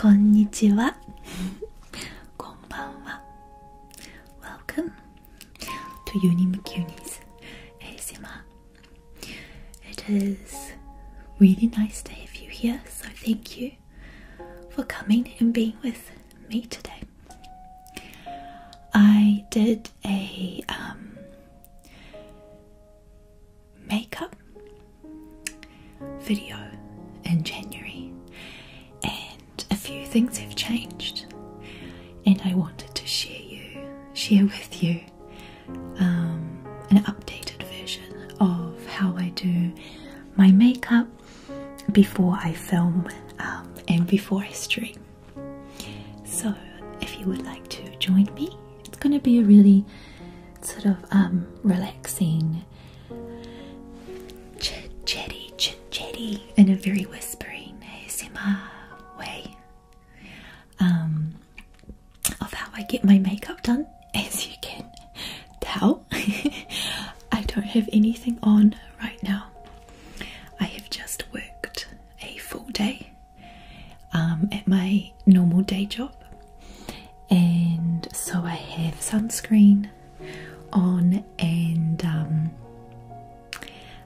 こんにちは。こんばんは。Welcome to Unimucunis ASMR. It is really nice to have you here, so thank you. for coming and being with me today. I did a um, makeup video in January, and a few things have changed, and I wanted to share you, share with you, um, an updated version of how I do my makeup before I film um, and before I stream. So, if you would like to join me, it's going to be a really sort of um, relaxing, chatty, chatty, in a very whispering ASMR way um, of how I get my makeup done as you can tell, I don't have anything on right now. I have just worked a full day um, at my normal day job, and so I have sunscreen on, and um,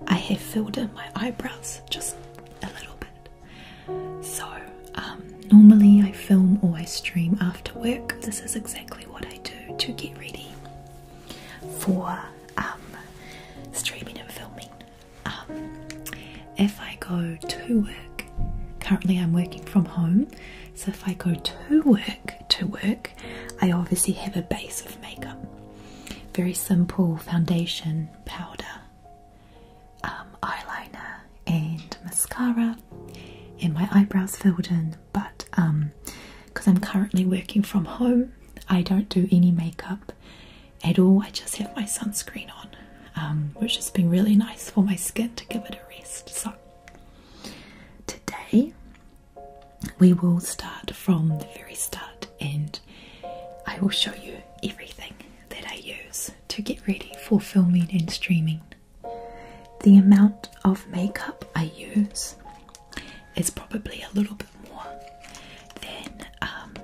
I have filled in my eyebrows just a little bit. So um, normally I film or I stream after work. This is exactly what I do to get ready for um, streaming and filming. Um, if I go to work, currently I'm working from home, so if I go to work, to work, I obviously have a base of makeup. Very simple foundation, powder, eyeliner, and mascara and my eyebrows filled in but because um, I'm currently working from home I don't do any makeup at all I just have my sunscreen on um, which has been really nice for my skin to give it a rest so today we will start from the very start and I will show you everything that I use to get ready for filming and streaming the amount of makeup I use is probably a little bit more than, um,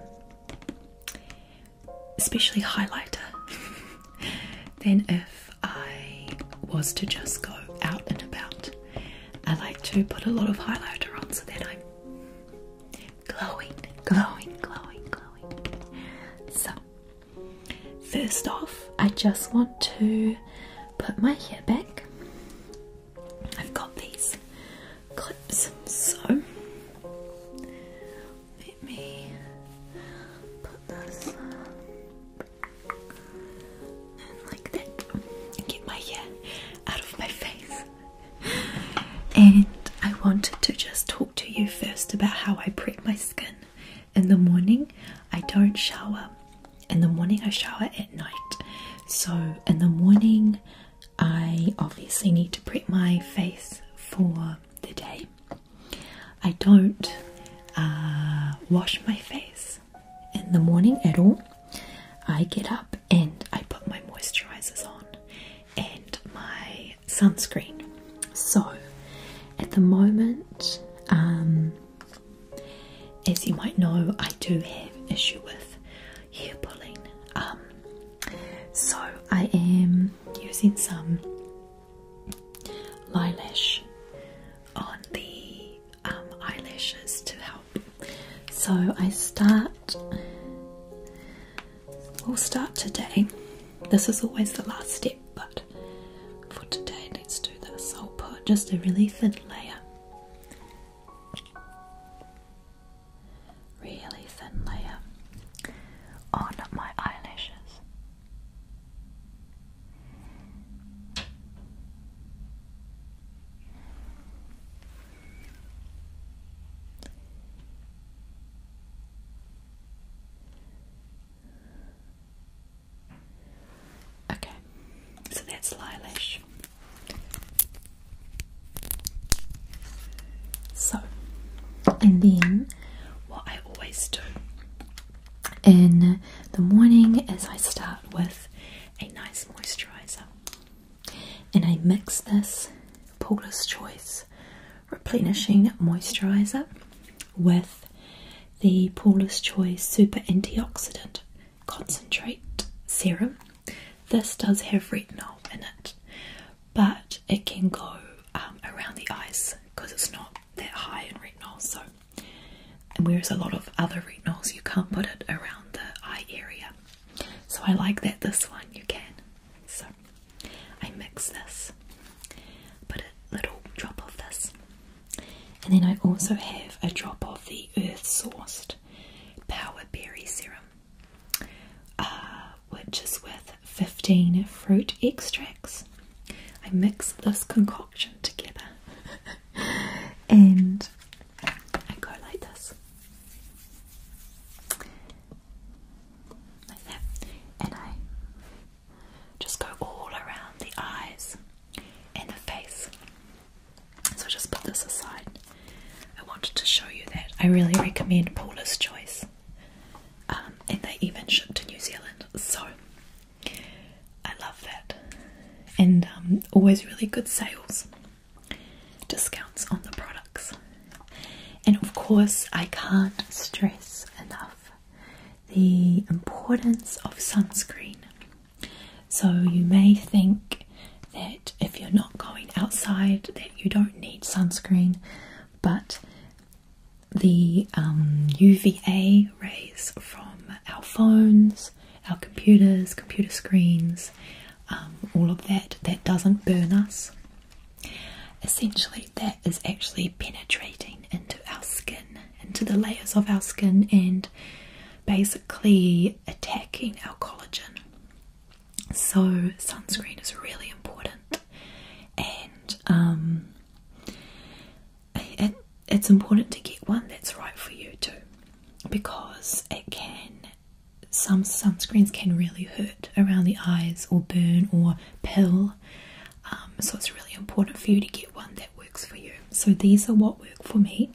especially highlighter, than if I was to just go out and about. I like to put a lot of highlighter on so that I'm glowing, glowing, glowing, glowing. So First off, I just want to put my hair back. I've got these clips, so let me put this in like that and get my hair out of my face. And I wanted to just talk to you first about how I prep my skin in the morning I don't shower. In the morning I shower at night. So in the morning I obviously need to prep my face for the day. I don't uh, wash my face in the morning at all. I get up and I put my moisturizers on and my sunscreen. So at the moment, um, as you might know, I do have issue with hair pulling. Um, so I am using some eyelash on the um, eyelashes to help. So I start. We'll start today. This is always the last step, but for today, let's do the salt pot, just a really thin layer. Really thin layer on my eyelashes. Okay, so that's Lilash. So, and then what I always do in the morning is I start with a nice moisturizer and I mix this Paula's Choice replenishing moisturizer with the Paula's Choice Super Antioxidant Concentrate Serum. This does have retinol in it, but it can go um, around the eyes because it's not that high in retinol. So, and whereas a lot of other retinols you can't put it around the eye area, so I like that this one you can. So, I mix this, put a little drop of this and then I also have a drop of the Earth Sourced Power Berry Serum, uh, which is with 15 fruit extracts. I mix this concoction together and I go like this. Like that. And I just go all around the eyes and the face. So just put this aside. I wanted to show you that. I really recommend Paula's Choice. Um, and they even ship to New Zealand. So I love that. And um, always really good sales. Discounts on the products. And of course, I can't stress enough the importance of sunscreen. So, you may think that if you're not going outside, that you don't need sunscreen, but the um, UVA rays from our phones, our computers, computer screens, um, all of that, that doesn't burn us. Essentially, that is actually penetrating into our skin, into the layers of our skin, and basically attacking our collagen. So, sunscreen is really important, and um, it's important to get one that's right for you too because it can. Some sunscreens can really hurt around the eyes or burn or peel. Um, so it's really important for you to get one that works for you so these are what work for me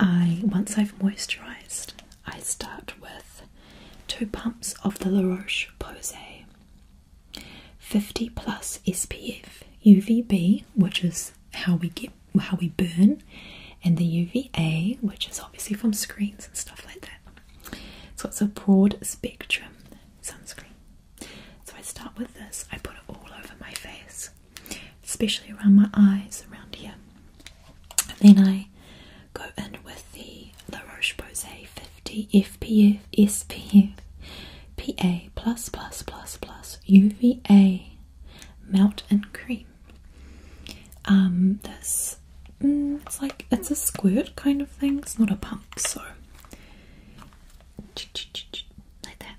I once I've moisturized I start with two pumps of the La Roche Posay 50 plus SPF UVB which is how we get how we burn and the UVA which is obviously from screens and stuff like that so it's a broad spectrum sunscreen so I start with this. I put it all over my face, especially around my eyes, around here. then I go in with the La Roche Posay 50 FPF SPF PA plus plus plus plus UVA melt and cream. Um, this mm, it's like it's a squirt kind of thing. It's not a pump, so like that.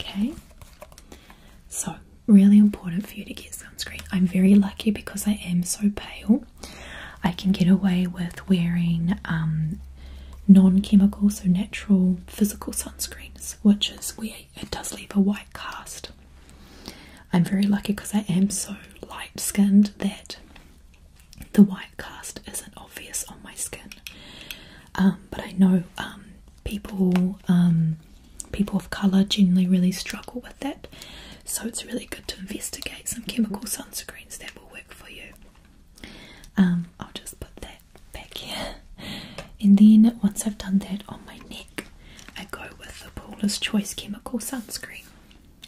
Okay, so really important for you to get sunscreen. I'm very lucky because I am so pale, I can get away with wearing um, non chemical, so natural physical sunscreens, which is where it does leave a white cast. I'm very lucky because I am so light skinned that the white cast isn't obvious on my skin. Um, but I know um, people um, people of colour generally really struggle with that, so it's really good to investigate some chemical sunscreens that will work for you. I'll just put that back here, and then once I've done that on my neck, I go with the Paula's Choice chemical sunscreen.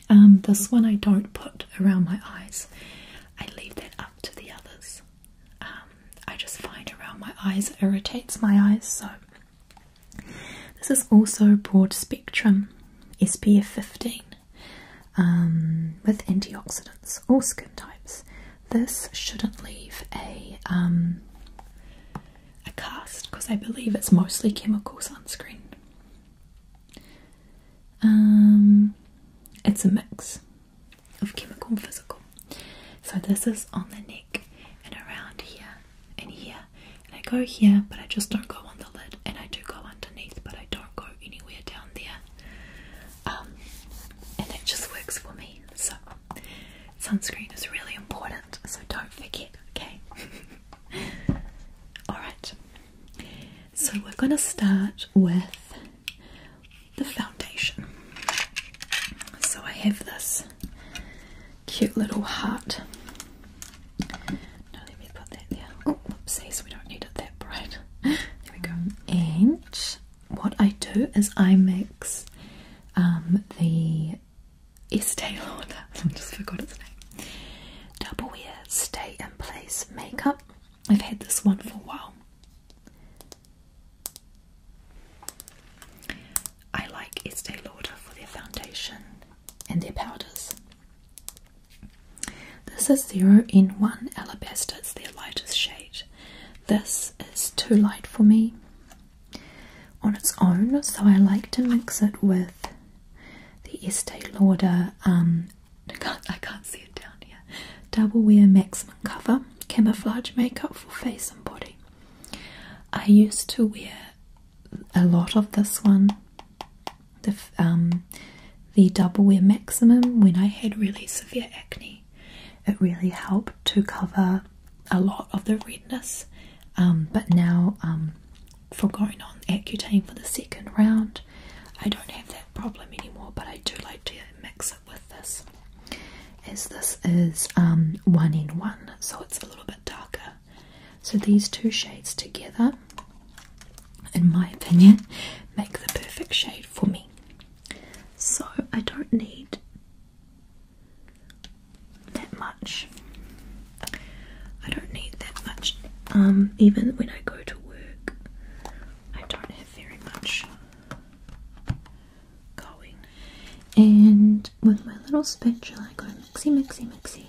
Um, this one I don't put around my eyes. I leave that up to the others. Um, I just find around my eyes irritates my eyes, so this is also broad spectrum SPF 15 um, with antioxidants, all skin types. This shouldn't leave a a cast because I believe it's mostly chemical sunscreen. Um, it's a mix of chemical and physical. So this is on the neck and around here and here. And I go here, but I just don't go on the lid. And I do go underneath, but I don't go anywhere down there. Um, and it just works for me. So sunscreen is really important so don't forget, okay? Alright, so we're going to start with the foundation. So I have this cute little heart. No, let me put that there. Oh, we don't need it that bright. There we go. And what I do is I mix um, the Estee Lauder. I just forgot its name. Double Wear Stay in Place Makeup. I've had this one for a while. I like Estee Lauder for their foundation and their powders. This is 0 in one Alabaster. It's their lightest shade. This is too light for me on its own, so I like to mix it with the Estee Lauder, um, I can't, see it down here, Double Wear Maximum Cover Camouflage Makeup for Face and Body. I used to wear a lot of this one, the, um, Double Wear Maximum, when I had really severe acne. It really helped to cover a lot of the redness, um, but now for going on Accutane for the second round. I don't have that problem anymore, but I do like to mix it with this, as this is um, one in one, so it's a little bit darker. So these two shades together, in my opinion, make the perfect shade for me. So I don't need that much. I don't need that much. Um, even when I go to work, I don't have very much going. And with my little spatula, I go mixy, mixy, mixy.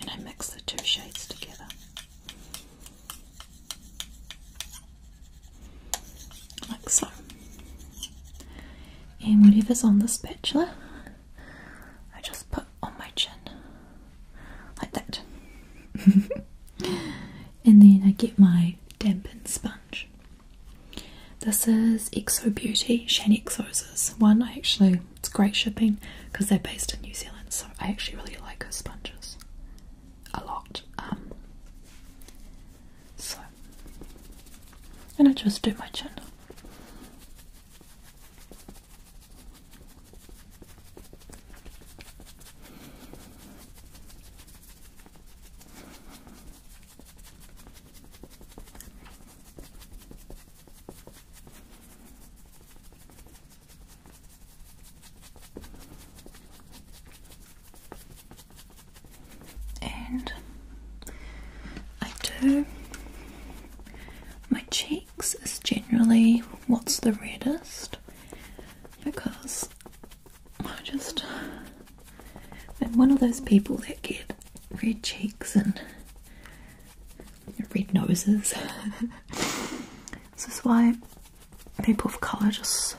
And I mix the two shades together like so. And whatever's on the spatula, I just put on my chin like that. and then I get my dampened sponge. This is Exo Beauty Shan Exo's one. I actually, it's great shipping because they're based in New Zealand, so I actually really like her sponges a lot. Um, so, and I just do my channel and I do. My cheeks is generally what's the reddest because I just am one of those people that get red cheeks and red noses. this is why people of colour just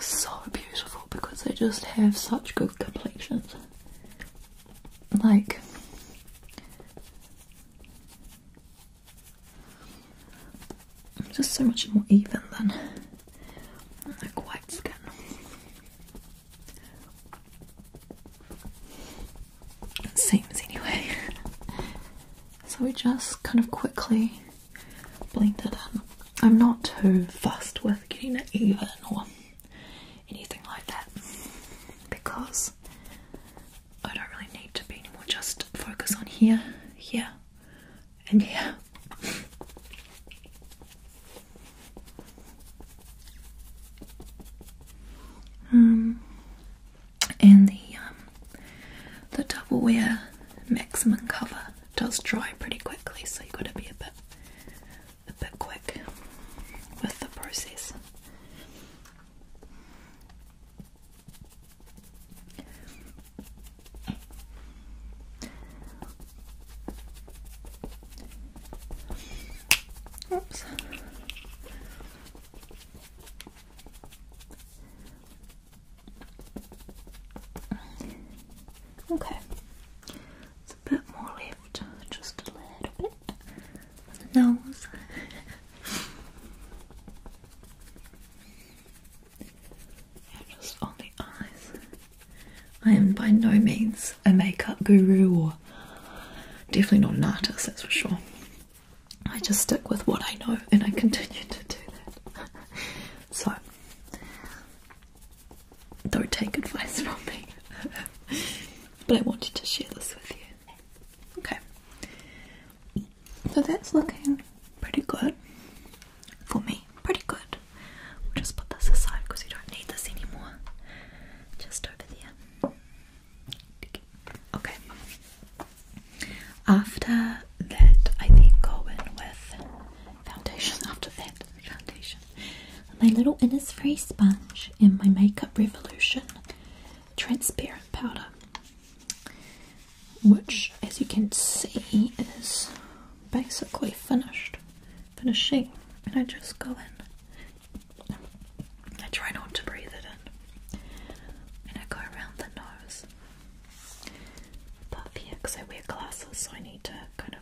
so beautiful because they just have such good complexions. Like just so much more even than like white skin. seems anyway. so we just kind of quickly blend I'm not too fussed with getting it even or anything like that because I don't really need to be anymore. Just focus on here, here, and here. Um, and the um, the double wear maximum cover does dry pretty quickly, so you've got to be a bit a bit quick with the process. Oops. Okay, it's a bit more left, just a little bit the nose. just on the eyes. I am by no means a makeup guru or definitely not an artist, that's for sure. I just stick with what I know and I continue to do that. so don't take advice from me. but I wanted to share this with you. Okay. So that's looking pretty good. For me, pretty good. We'll just put this aside because you don't need this anymore. Just over there. Okay. After that, I then go in with foundation. After that, foundation. My little Innisfree sponge and my Makeup Revolution transparent powder, which, as you can see, is basically finished, finishing. And I just go in. I try not to breathe it in. And I go around the nose because I wear glasses, so I need to kind of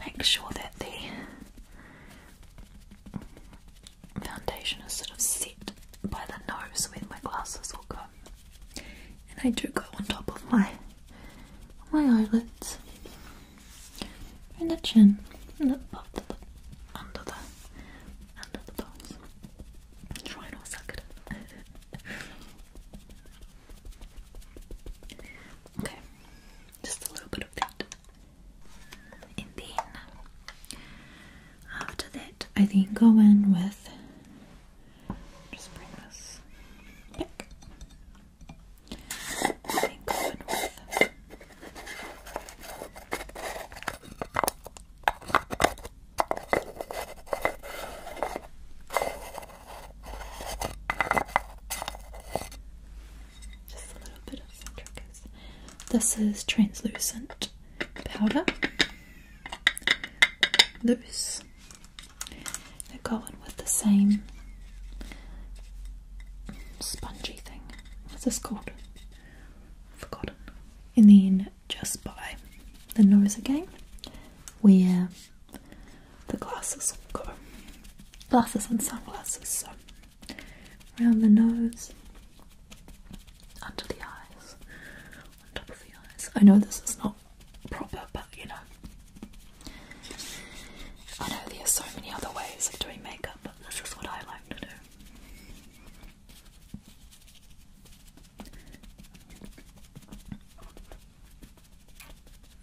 make sure that the foundation is sort of set by the nose where my glasses will go. And I do go on top of my my eyelids and the chin and the lip, under the under the bones. Try and all suck it Okay, just a little bit of that. And then after that, I then go in with just bring this back. I then go with just a little bit of centricus. This is translucent powder. Loose. They're going with the same spongy thing. What's this called? Forgotten. And then just by the nose again, where the glasses cover. Glasses and sunglasses, so around the nose, under the eyes, on the eyes. I know this is not proper, but you know. I know there are so many other ways of doing makeup, but this is what I like to do.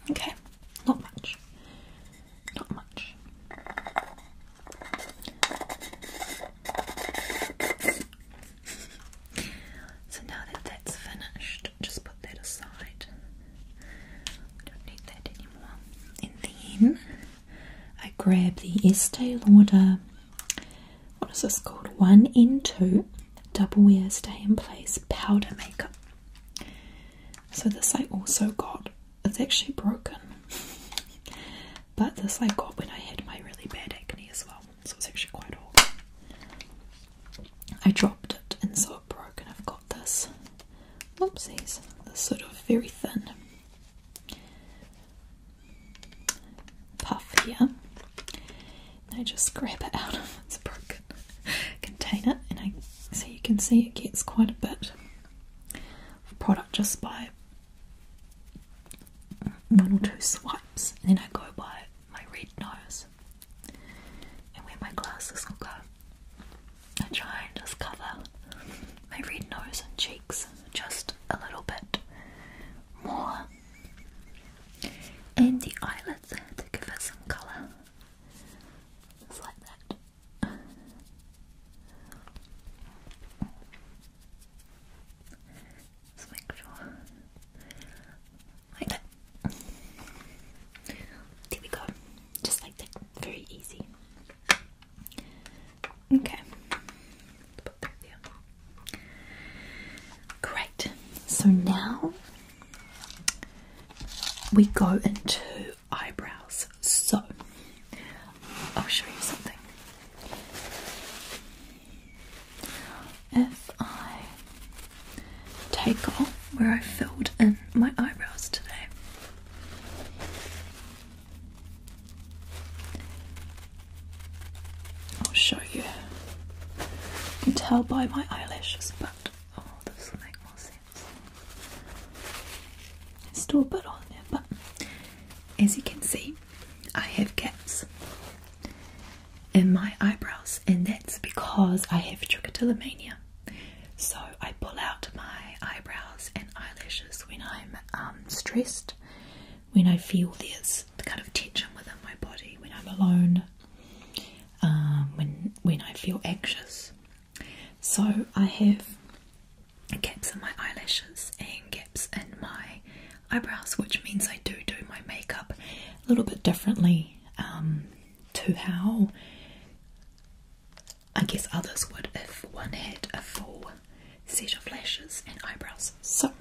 Okay, not much. Not much. So now that that's finished, just put that aside. I don't need that anymore. And then I grab the Estee Lauder what is this called? One in two double wear stay in place powder makeup. So this I also got. It's actually broken. but this I got when I had my really bad acne as well. So it's actually quite old. I dropped it and so it broke and I've got this. Oopsies. This sort of very thin puff here. I just grab it out of its broken container and I so you can see it gets quite a bit of product just by one or two swipes and then I go by my red nose and where my glasses I try and just cover my red nose and cheeks just a little bit more and the eyelids to give it some colour. Just like that. Just make sure. There we go. Just like that. Very easy. Okay. Great. So now we go into eyebrows. So I'll show you something. If I take off where I filled in my eyebrows today, I'll show you. You can tell by my eyelashes, but oh, this will make more sense. still a on but as you can see, I have gaps in my eyebrows, and that's because I have trichotillomania. So I pull out my eyebrows and eyelashes when I'm um, stressed, when I feel there's kind of tension within my body, when I'm alone. Um, when when I feel anxious. So I have gaps in my eyelashes and gaps in my eyebrows, which means I do do my makeup a little bit differently um, to how I guess others would if one had a full set of lashes and eyebrows. So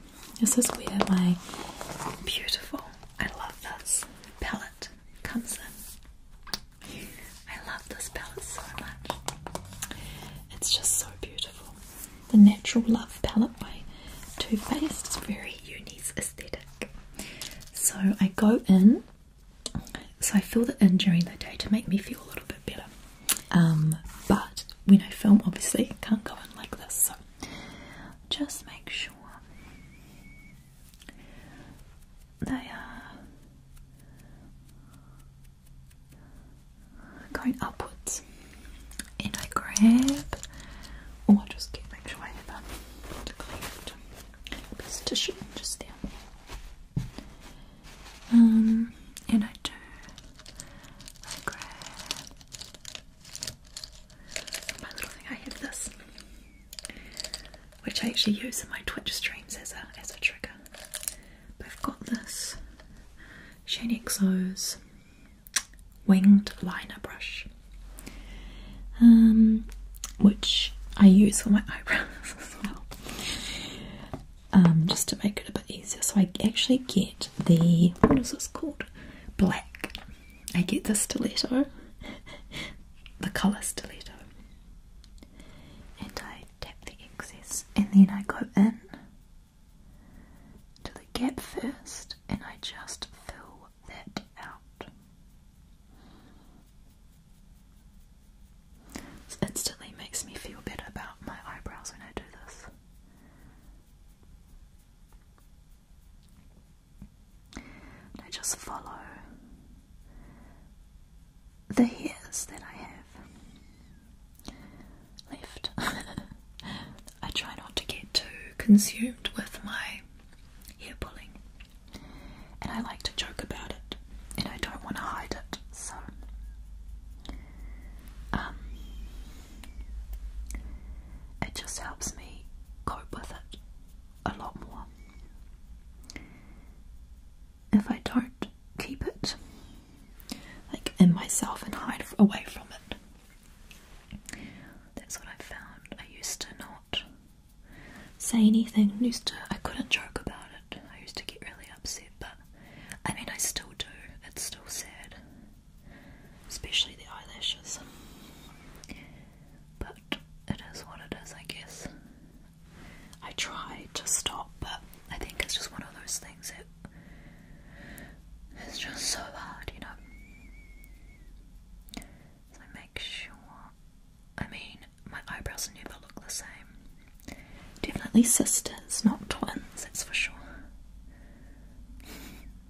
this is where my beautiful, I love this, palette comes in. I love this palette so much. It's just so beautiful. The Natural Love palette by Too Faced is very uni's aesthetic. So I go in, so I fill it in during the day to make me feel a little bit better. Um, but when I film, obviously, I can't go in like this. So just make sure they are going upwards. And I grab, oh, I just get make sure I have a to tissue just there. Um, and I do. grab my little thing. I have this, which I actually use in my Twitch streams as a as a trigger. I've got this Shane Exo's winged liner brush, um, which I use for my eyebrows as well, um, just to make it a bit easier. So I actually get the what is this called? Black I get the stiletto, the colour stiletto, and I tap the excess, and then I go in to the gap first, and I just fill that out. This instantly makes me feel better about my eyebrows when I do this. I just follow the hairs that I have left. I try not to get too consumed with my hair pulling, and I like to joke about it, and I don't want to hide it, so. Um, it just helps me cope with it a lot more. If I don't keep it like in myself and hide away from it, that's what I found. I used to not say anything. used to I couldn't joke about it. I used to get really upset, but I mean I still do. It's still sad, especially the eyelashes but it is what it is, I guess. I try to stop, but I think it's just one of those things that it's just so hard, you know. So I make sure. I mean, my eyebrows never look the same. Definitely sisters, not twins, that's for sure.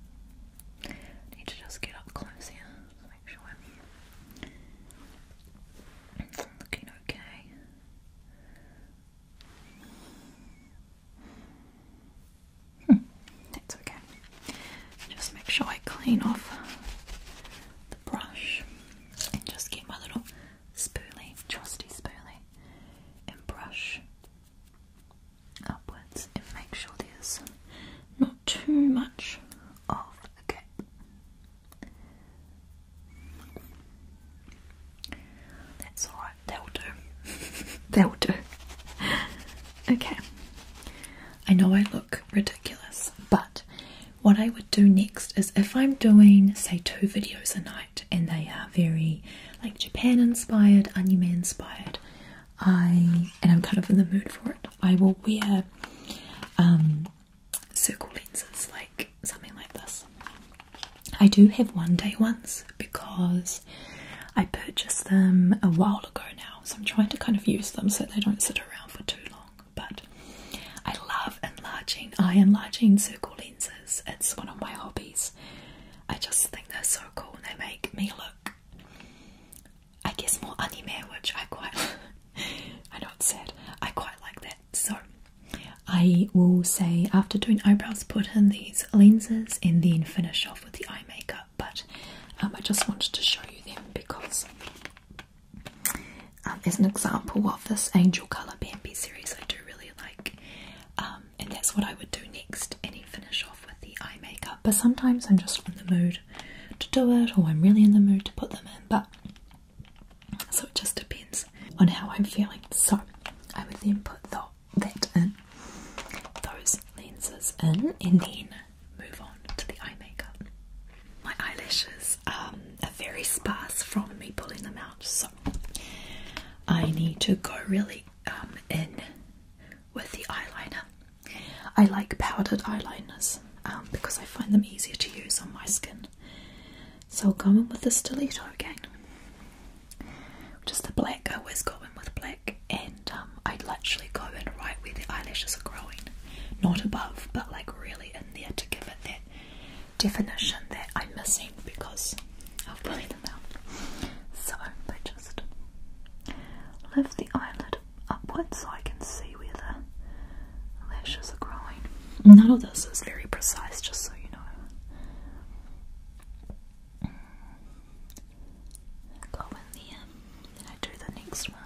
Need to just get up close just make sure I'm looking okay. Hmm, okay. Just make sure I clean off the brush and just get my little spoolie, trusty spoolie, and brush upwards and make sure there's not too much of a gap. That's alright, that'll do. that'll do. Okay. I know I look ridiculous, but what I would do next is if I'm doing, say, two videos a night and they are very like Japan inspired, anime inspired, I and I'm kind of in the mood for it. I will wear um, circle lenses, like something like this. I do have one day ones because I purchased them a while ago now, so I'm trying to kind of use them so they don't sit around for too long. But I love enlarging, I enlarging circle lenses. It's one of my hobbies. I just think they're so cool and they make me look I guess more anime, which I quite I know it's sad. I quite like that. So I will say after doing eyebrows put in these lenses and then finish off with the eye makeup, but um, I just wanted to show you them because um, as an example of this Angel Colour Bambi series I do really like um, and that's what I would do next and finish off with the eye makeup, but sometimes I'm just in the mood to do it, or I'm really in the mood to put them in. But so it just depends on how I'm feeling. So I would then put that in, those lenses in, and then move on to the eye makeup. My eyelashes um, are very sparse from me pulling them out, so I need to go really um, in with the eyeliner. I like powdered eyeliners um, because I find them easier to use on my skin. So I'll go in with the stiletto again. Just the black, I always go in with black, and um, I'd literally go in right where the eyelashes are growing. Not above, but like really in there to give it that definition that I'm missing because I've pulling them out. So I just lift the eyelid upwards so I can see where the lashes are growing. None of this is very precise, just so you know. Go in there, then I do the next one.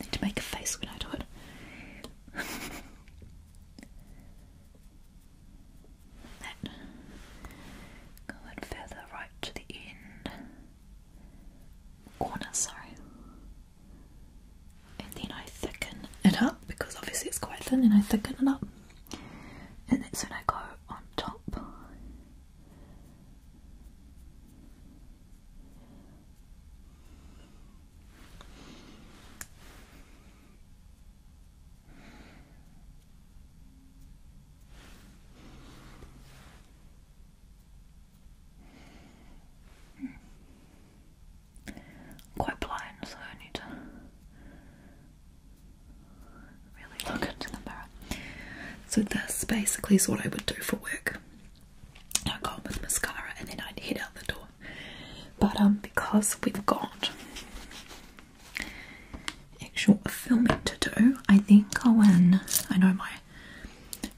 Need to make a face when I do it. go and feather right to the end corner, sorry. And then I thicken it up because obviously it's quite thin, and I thicken it up. And that's when I go on top quite blind, so I need to really look into the mirror. So this basically is what I would do for work. I'd go on with mascara and then I'd head out the door. But um because we've got actual filming to do. I then go in, I know my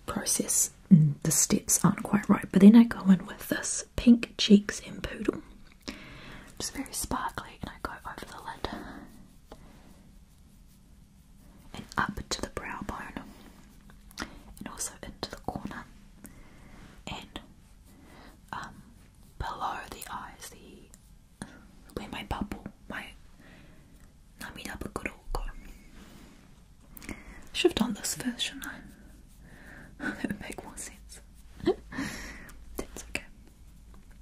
process, the steps aren't quite right, but then I go in with this pink cheeks and poodle. It's very sparkly and I go over the lid and up to the brow bone and also into the corner and um, below the eyes, the my bubble, my Namida Bakuroko. Should have done this first, shouldn't I? That would make more sense. That's okay.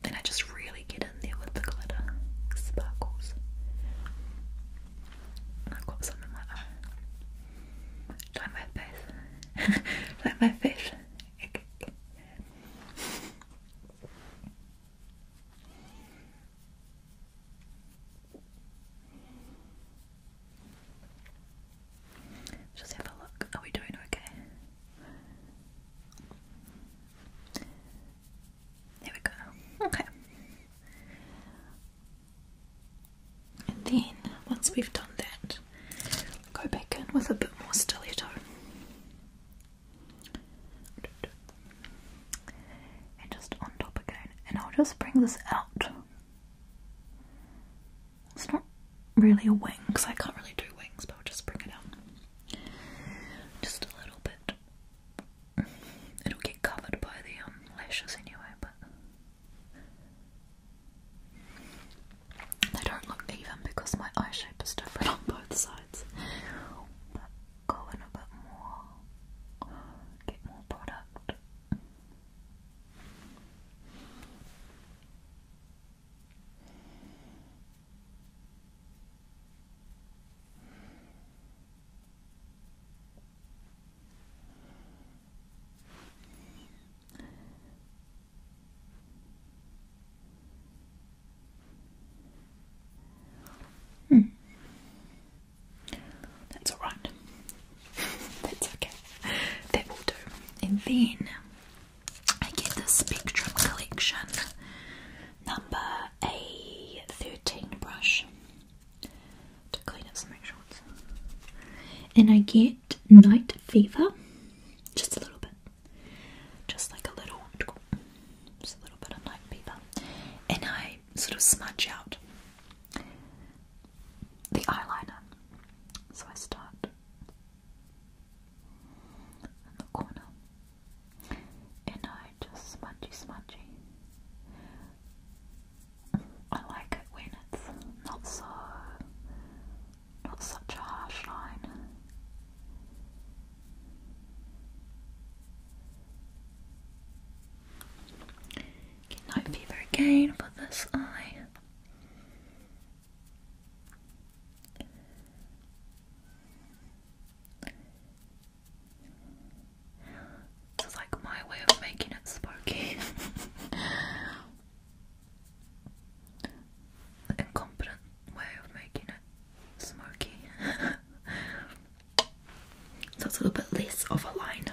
Then I just really get in there with the glitter sparkles. I've got some in my eye. Dye my face. Dye my face. Just have a look. Are we doing okay? There we go. Okay. And then, once we've done that, go back in with a bit more stiletto and just on top again and I'll just bring this out it's not really a wing because I can't really do wings but I'll just bring it out just a little bit it'll get covered by the um, lashes anyway but they don't look even because my eye shape is different on both sides sides. But go a bit more, get more product. Hmm. That's alright. That's okay. That will do. And then I get the Spectrum Collection number A13 brush to clean up some extra And I get Night Fever, just a little bit just like a little, just a little bit of night paper, and I sort of smudge out the eyeliner. So I start in the corner, and I just smudgy, smudgy. I like it when it's not so, not such a harsh line. Get night fever again for this eye. This is like my way of making it sparky. way of making it smoky. so it's a little bit less of a line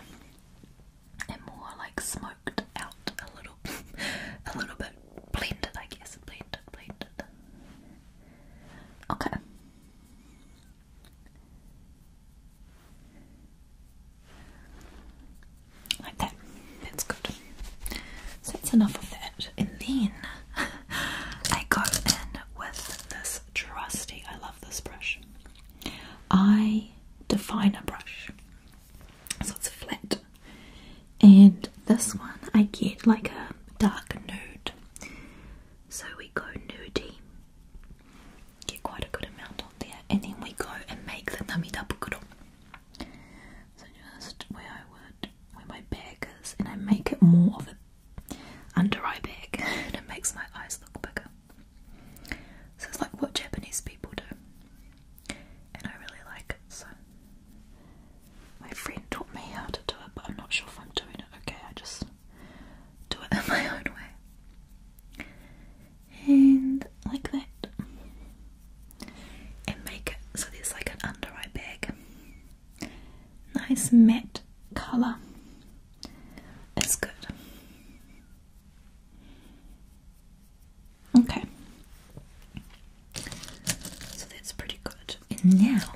and more like smoked out a little a little bit blended I guess. Blended, blended. Okay. Like that. That's good. So that's enough of that. And then I go in with this trusty, I love this brush. I definer brush. So it's flat. And this one I get like a dark nude. So we go nudey, Get quite a good amount on there. And then we go and make the nummy double So just where I would with my bagers and I make it more of an under eye bag and it makes my eyes look bigger. So it's like what Japanese people do. And I really like it, so my friend taught me how to do it, but I'm not sure if I'm doing it okay, I just do it in my own way. And like that. And make it so there's like an under eye bag nice matte color is good. Okay, so that's pretty good. And now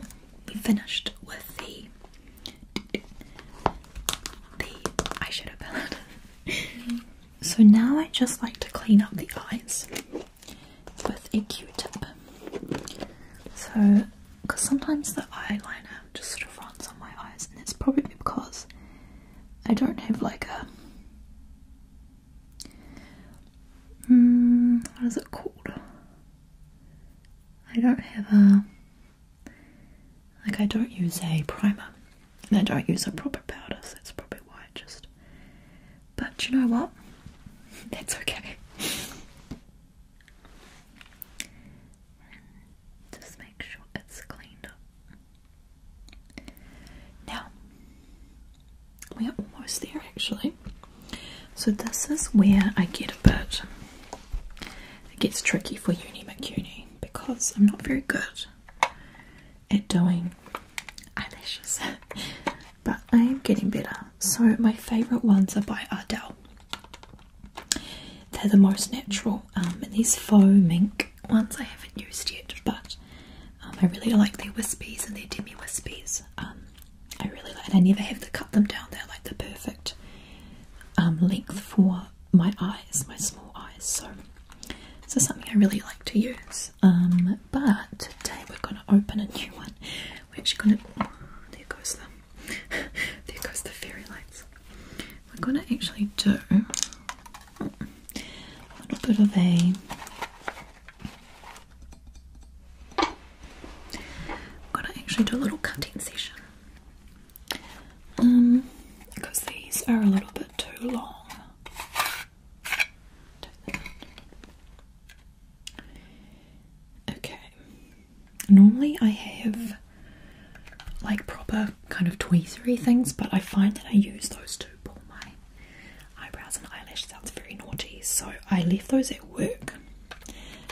we finished with the the eyeshadow so now I just like to clean up the eyes with a q-tip so because sometimes the eyeliner just sort of runs on my eyes and it's probably because I don't have like a mm, what is it called I don't have a like I don't use a primer and I don't use a proper powder so that's probably why it just but you know what? That's okay. just make sure it's cleaned up. Now, we are almost there actually. So, this is where I get a bit. It gets tricky for Uni McUni because I'm not very good at doing eyelashes, but I am getting better. So, my favourite ones are by Ardell. They're the most natural, um, and these faux mink ones I haven't used yet, but um, I really like their wispies and their demi wispies. Um, I really like, and I never have to cut them down. They're like the perfect length for my eyes, my small eyes. So, this something I really like to use. but today we're going to open a new one. We're actually gonna. Oh, there goes the. there goes the fairy lights. We're gonna actually do a little bit of a. I'm gonna actually do a little cutting session. Um, because these are a little bit too long. Okay. Normally I have like proper kind of tweezery things, but I find that I use those to pull my eyebrows and eyelashes Sounds very naughty, so I left those at work.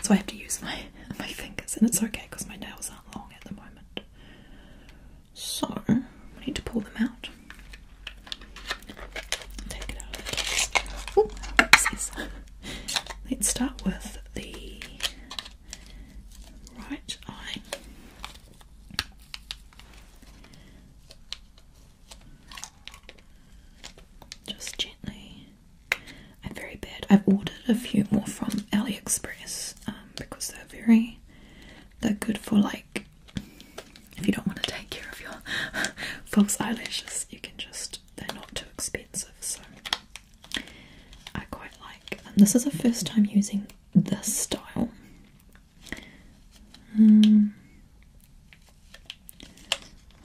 So I have to use my my fingers, and it's okay because my nails aren't long at the moment. So I need to pull them out. Let's start with the right eye. Just gently. I'm very bad. I've ordered a few more from AliExpress um, because they're very, they're good for like, if you don't want to take care of your false eyelashes, you can just they're not too expensive, so I quite like. this is the first time using this style. Hmm.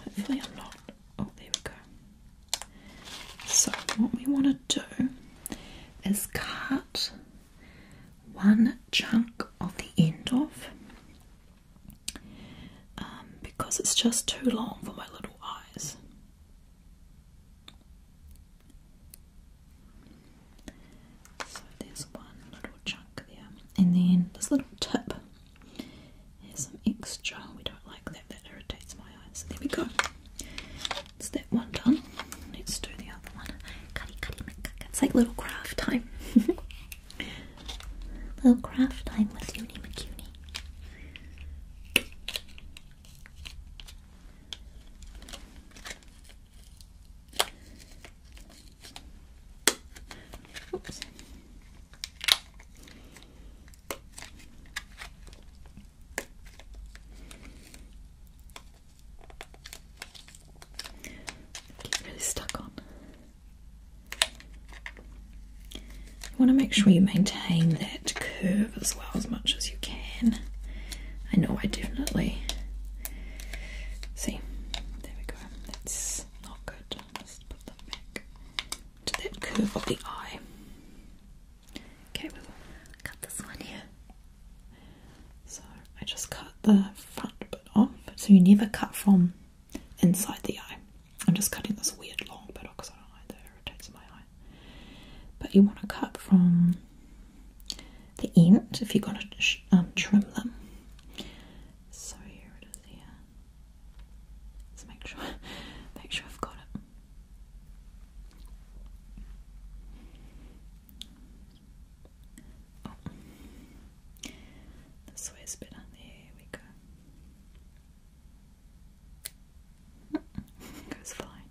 hopefully, I'm not. Oh, there we go. So, what we want to do is cut one chunk of the end off um, because it's just too long for my little eyes. So there's one little chunk there, and then this little tip has some extra. We don't like that; that irritates my eyes. So there we go. It's that one done. Let's do the other one. Cutty, cutty, it's like little craft time. Little craft time with Uni McCuny. Oops. really stuck on. You want to make sure you maintain that curve as well as much as you can. I know I definitely see. There we go. That's not good. let put that back to that curve of the eye. Okay, we'll cut this one here. So I just cut the front bit off. So you never cut from inside the eye. I'm just cutting this weird long bit because I don't like that irritates my eye. But you want to cut from the end if you're going to um, trim them. So here it is. Here, let's make sure, make sure I've got it. Oh. This way is better. There we go. Goes fine.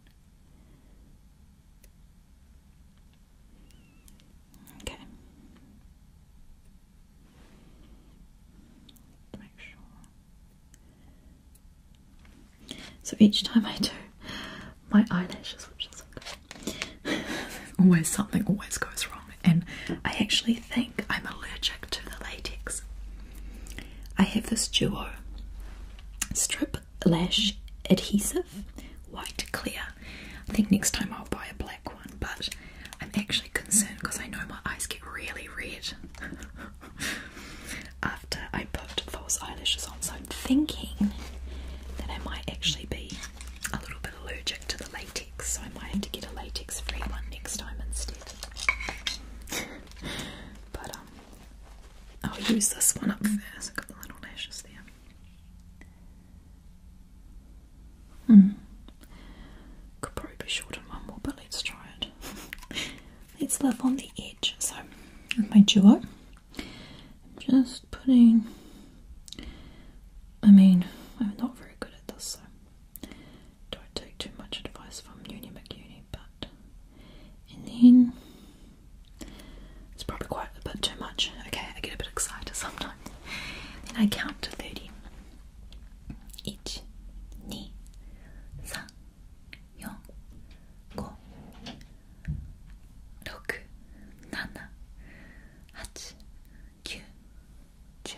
Okay. Make sure. So each time I do my eyelashes, always something always goes wrong and I actually think I'm allergic to the latex. I have this duo strip lash adhesive, white clear. I think next time I'll buy a black one, but I'm actually concerned because I know my eyes get really red after I put false eyelashes on. So I'm thinking that I might actually be a little bit allergic to the latex so I might have to get a latex free one next time instead. but um, I'll use this one up first. got the little lashes there. Hmm. Could probably be shorter one but let's try it. let's live on the edge. So, my duo, I'm just putting. I mean, I'm not very good at this, so don't take too much advice from Uni McUni, but in the it's probably quite a bit too much. Okay, I get a bit excited sometimes. Then I count to 30. Each, ni, san, yon, go, roku, nana, hachi, kyu, chu,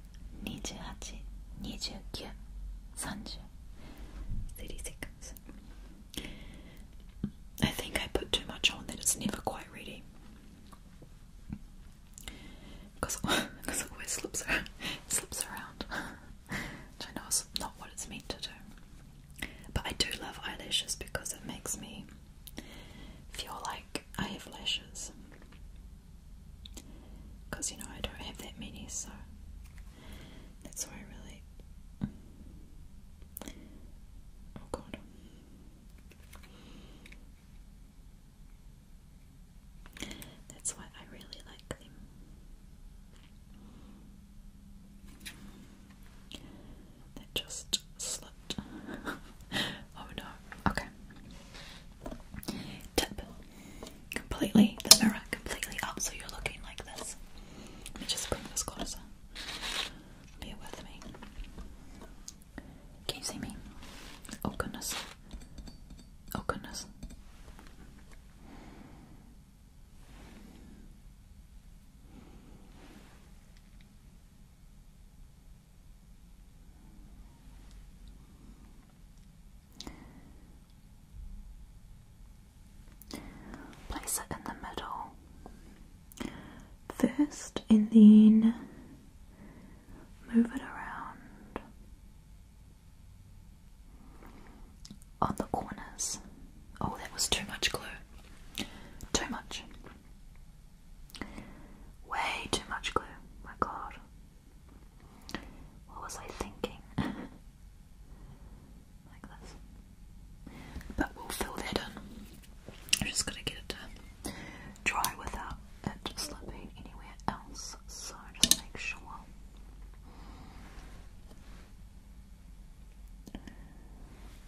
28, 29, 30 seconds I think I put too much on that it's never quite ready because it always slips around, I know it's not what it's meant to do but I do love eyelashes because it makes me feel like I have lashes because you know, I don't have that many, so that's why I really. Oh god. That's why I really like them. That just slipped. oh no. Okay tip completely the mirror completely up so you're looking like this. Let me just bring this closer. Bear with me. Can you see me? Oh goodness. Oh goodness. Place it in the middle first and then move it around on the corners. Oh, that was too much glue. Too much. Way too much glue. My god. What was I thinking? like this. But we'll fill that in. I'm just gonna get it uh, dry without it slipping anywhere else. So just make sure.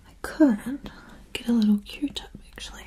I couldn't get a little Q-tip actually.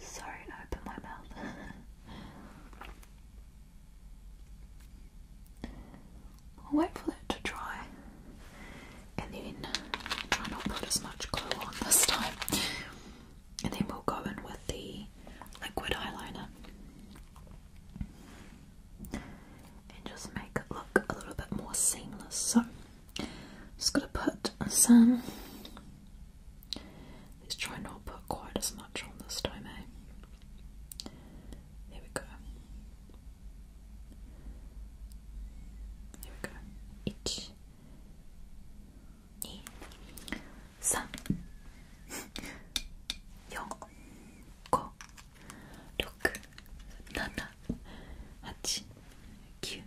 Sorry, I opened my mouth. I'll wait for that to dry and then try not put as much glue on this time. And then we'll go in with the liquid eyeliner and just make it look a little bit more seamless. So just gonna put some. Let's try not put quite as much on this time, eh? There we go. There we go. Each. Sam. Young. Go. Look. Nana. Hachi. Q.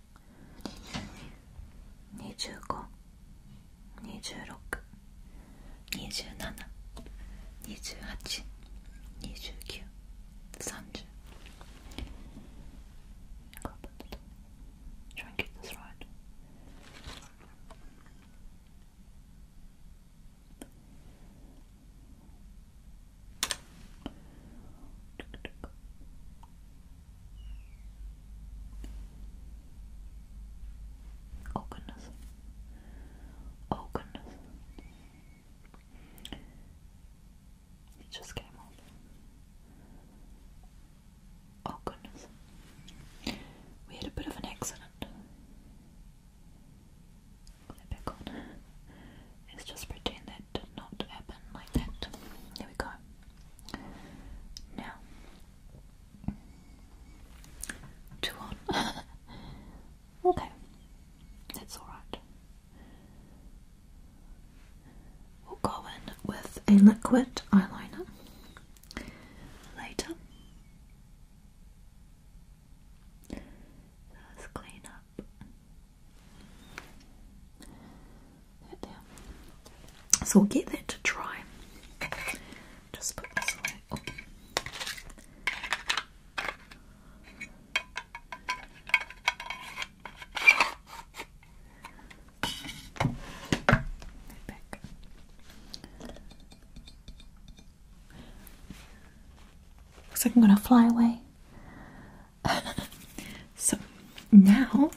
252627282930 Try and get this right. Oh goodness. Oh goodness. It just came off. Oh goodness. We had a bit of an accident. Put it back on. Let's just pretend that did not happen like that. There we go. Now, two on. okay, that's alright. We'll go in with a liquid eyeliner later. let's clean up so we'll get that to dry. Just put this away. Looks like I'm going to fly away. so now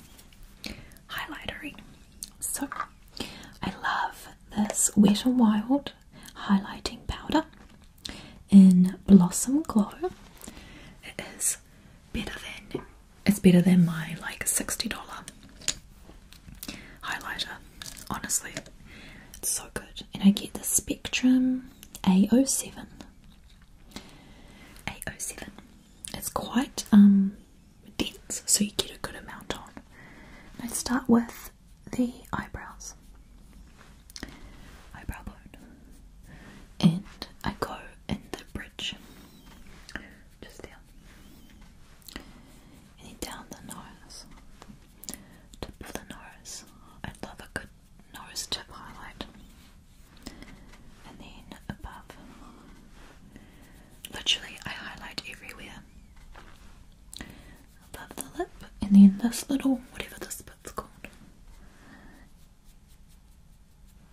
highlightery. So I love this Wet n Wild highlighting powder in Blossom Glow. It is better than it's better than my like $60 highlighter. Honestly, it's so good. And I get the Spectrum A07 807. It's quite um, dense, so you get a good amount on. I start with the eyebrows, eyebrow bone, and I go in the bridge, just there, and then down the nose, tip of the nose. I love a good Norris tip highlight, and then above. Literally, I highlight everywhere above the lip, and then this little whatever this bit's called.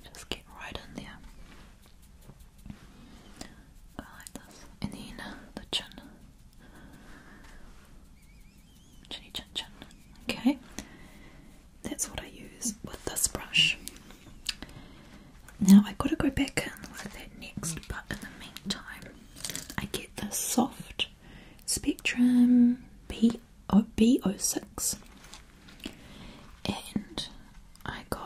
Just get right in there. Go like this, and then the chin. Chinny chin chin. Okay. That's what I use with this brush. Now i got to go back and with that next, but in the meantime, I get the soft Spectrum B oh, B06 and I go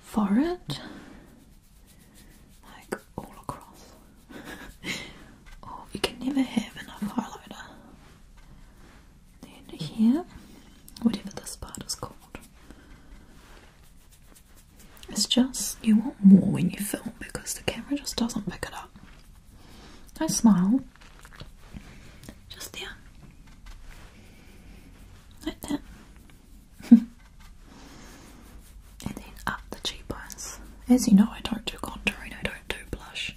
for it like all across Oh, you can never have enough highlighter. Then here, whatever this part is called. It's just, you want more when you film because the camera just doesn't pick it up. I smile. Just there. Like that. and then up the cheekbones. As you know, I don't do contouring, I don't do blush.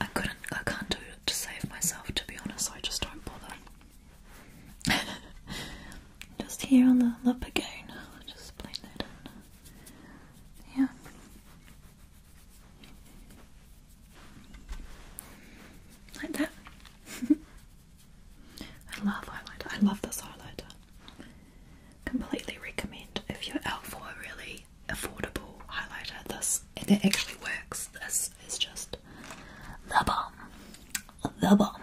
I couldn't, I can't do it to save myself to be honest, so I just don't bother. just here on the lip again, I'll just blend that in. Yeah. Like that. I love highlighter. I love this highlighter. Completely recommend if you're out for a really affordable highlighter. This and it actually works. This is just the bomb. The bomb.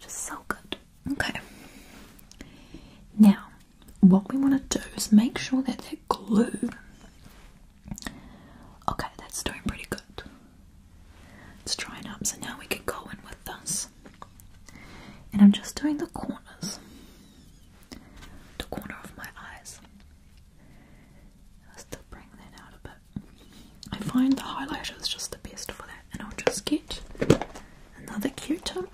Just so good. Okay. Now, what we want to do is make sure that that glue. Okay, that's doing pretty good. It's drying up, so now we can go in with this. And I'm just doing the corners the corner of my eyes. I'll bring that out a bit. I find the highlighter is just the best for that, and I'll just get another Q-tip.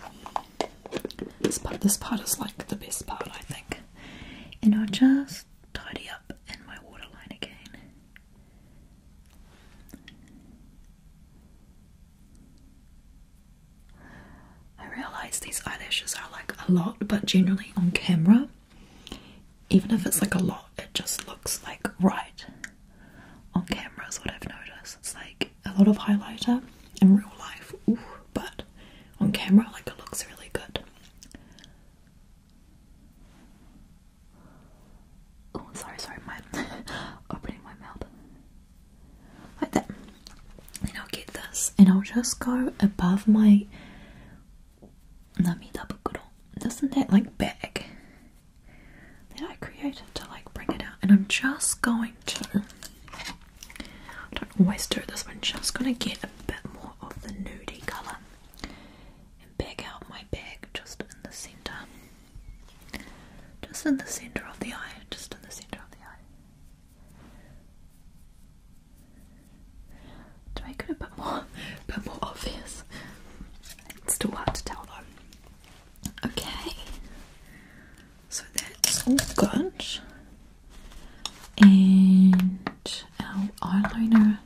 This part, this part is like the best part, I think. And I'll just tidy up in my waterline again. I realize these eyelashes are like a lot, but generally on camera, even if it's like a lot, it just looks like right on camera, is what I've noticed. It's like a lot of highlighter in real life, but on camera, like it looks really good. Oh, sorry, sorry, my opening my mouth like that. And I'll get this and I'll just go above my Nami Tabukuro. Doesn't that like bag that I created to like bring it out? And I'm just going to don't always do this, but I'm just gonna get a bit more of the nudie colour and bag out my bag just in the centre. Just in the centre of the eye, just in the centre of the eye. Do I go a bit more, a bit more obvious? It's too hard to tell though. Okay, so that's all good. And our eyeliner,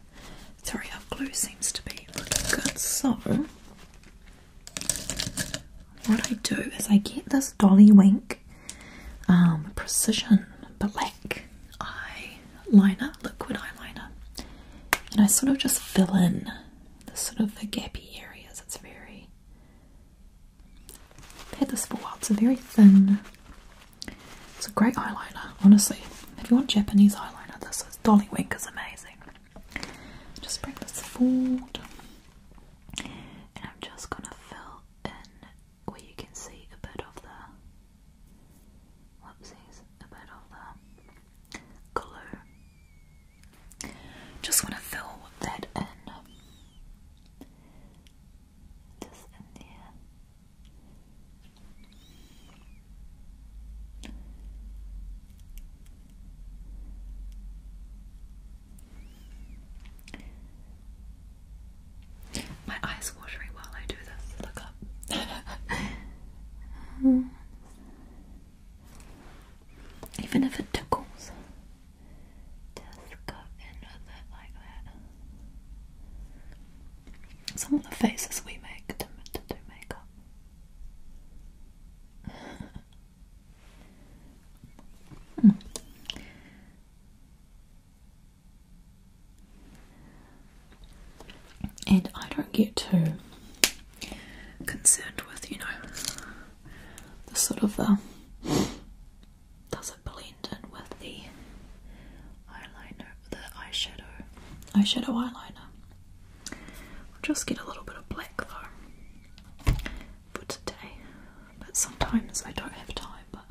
sorry, our glue seems to be looking good. So, what I do is I get this dolly wink like um, precision black eyeliner, liquid eyeliner, and I sort of just fill in the sort of the gappy areas. It's very i this for while. It's a very thin. It's a great eyeliner, honestly. If you want Japanese eyeliner, this is Dolly Wink is amazing. Just bring this forward. I'm just gonna fill in where you can see a bit of the whoopsies, a bit of the glue. Just wanna fill that in. Just in there. My eyes watery while I do this. Look up. Even if it tickles, just go in with it like that. Some of the faces we make to do makeup. Hmm. And I don't get too concerned with, you know, the sort of uh, does it blend in with the eyeliner, the eyeshadow, eyeshadow eyeliner. I'll just get a little bit of black though, for today, but sometimes I don't have time. But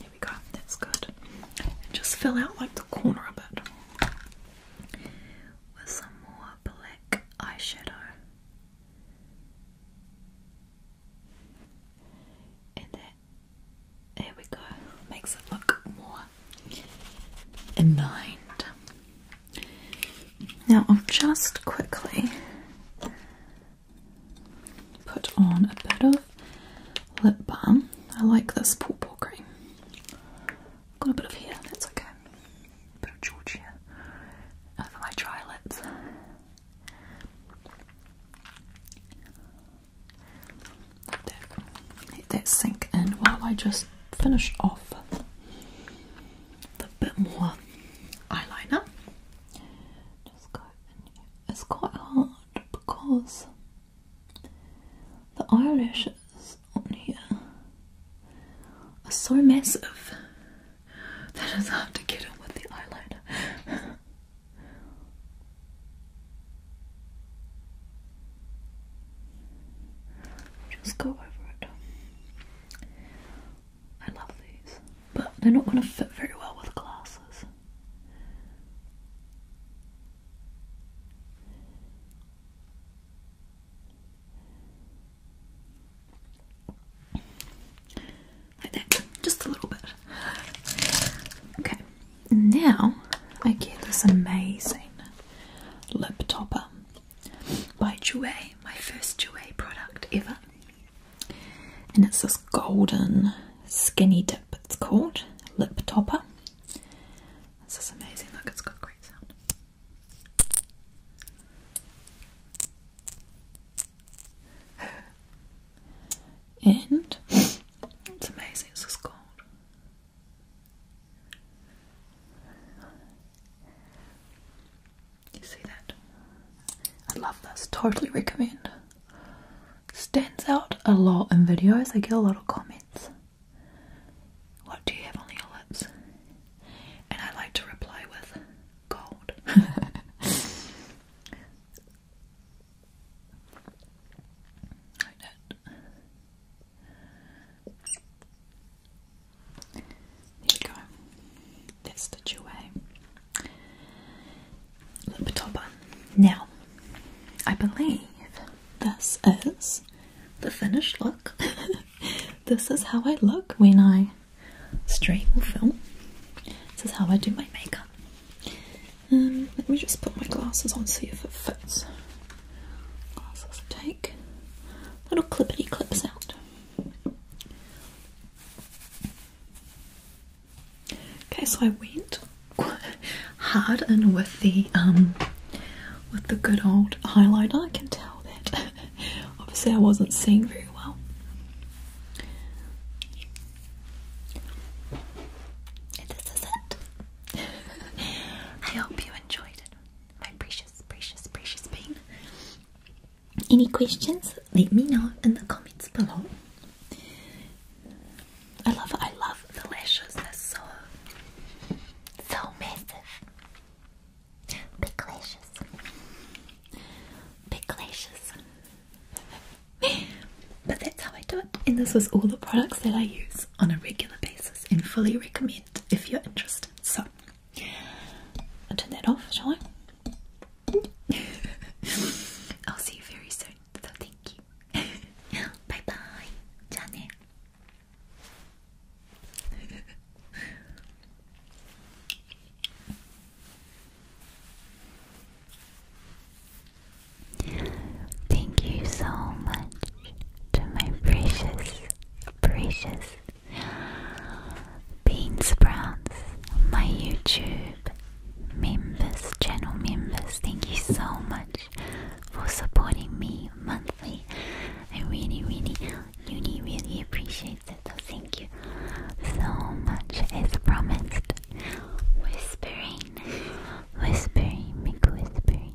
here we go, that's good. just fill out like the corner a bit with some more black eyeshadow. And that, there we go, makes it look more in mind. Now, I'll just quickly put on a bit of lip balm. I like this pawpaw cream. Got a bit of here. that's okay. A bit of Georgia over my dry lips. Let that sink in while I just finish off the bit more eyeliner. It's quite hard because the eyelashes on here are so massive that I have to get it with the eyeliner. Just go over it. I love these, but they're not going to fit very well with glasses. Like that, just a little bit. Okay, now I get this amazing lip topper by Jouer, my first Jouer product ever. And it's this golden skinny dip, it's called lip topper. This is amazing, look, it's got great sound. And it's amazing, This is gold. You see that? I love this. Totally recommend. Stands out a lot in videos. I get a lot of comments. What do you have on your lips? And I like to reply with gold. like that. Here we go. That's the duet. Lip topper. Now, I believe this is the finished look. this is how I look when I straighten or film. This is how I do my makeup. Um, let me just put my glasses on, see if it fits take little clippity clips out. Okay, so I went hard and with the um with the good old highlighter. I can tell that obviously I wasn't seeing very well. this is it. I hope you enjoyed my precious, precious, precious pain. Any questions? Let me know in the comments below. I love, I love the lashes. They're so, so massive. Big lashes. Big lashes. but that's how I do it. And this was all the products that I use on a regular basis and fully recommend if you're interested. So, turn that off, shall I? I'll see you very soon, so thank you. bye bye. Ciao. Thank you so much to my precious, precious Bean Sprouts, my YouTube members, channel members. Thank you so much for supporting me monthly. I really, really, really, really appreciate it. So thank you so much. As promised, whispering, whispering, make whispering.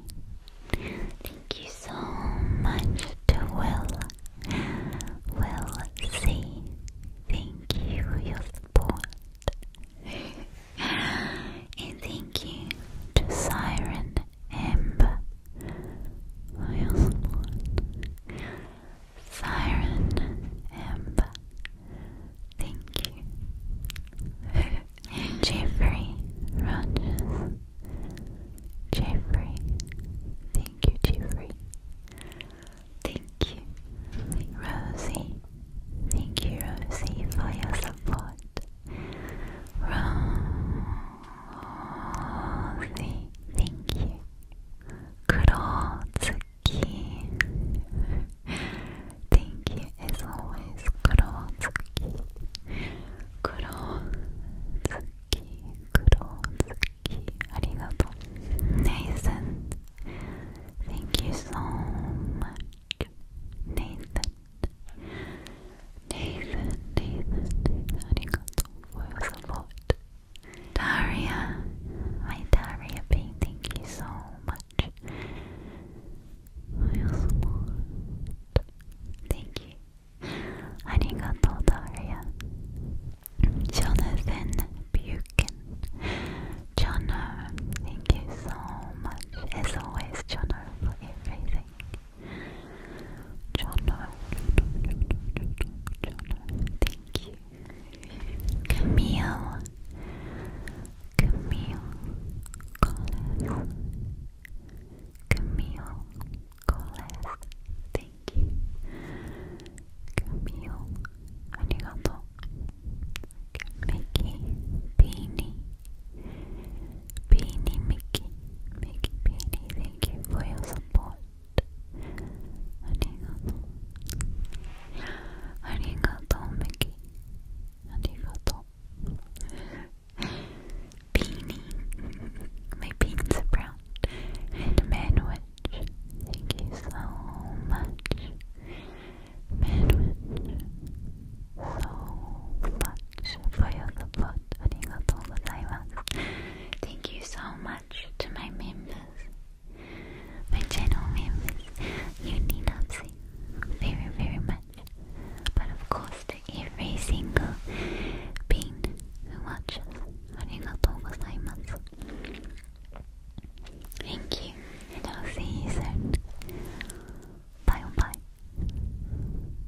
Thank you so much to Will. Will see. Thank you for your support. and thank you to Siren Amber for your support. Siren Amber. Thank you. Jeffrey Rogers. Jeffrey. Thank you, Jeffrey. Thank you, Rosie. Thank you, Rosie, for your support. Rosie, thank you. Kurotsuki. Thank you as Kurotsuki. 黒月黒月ありがとう Nathan Thank you so much Nathan Nathan Nathan Nathan ありがとう for your support Daria My Daria Thank you so much Thank you. Arigato, Daria. Jonathan Buchan. thank you so much. As always, Jono, for everything. Jono, thank you. Camille. Camille Collins. Camille Colas. Thank you. Camille Arigato. Mickey Beanie. Beanie Mickey. Mickey Beanie. Thank you for your support. Arigato. Arigato Mickey. Arigato. Beanie. My beans are brown. And Manwich. Thank you so much. Manwich. So much for your support. Arigatou gozaimasu. Thank you so much to my members. My channel members. You need not very very much but of course to every single being who Thank you, and I'll see you soon. Bye bye.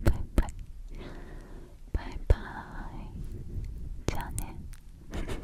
Bye bye. Bye bye. Jane. bye.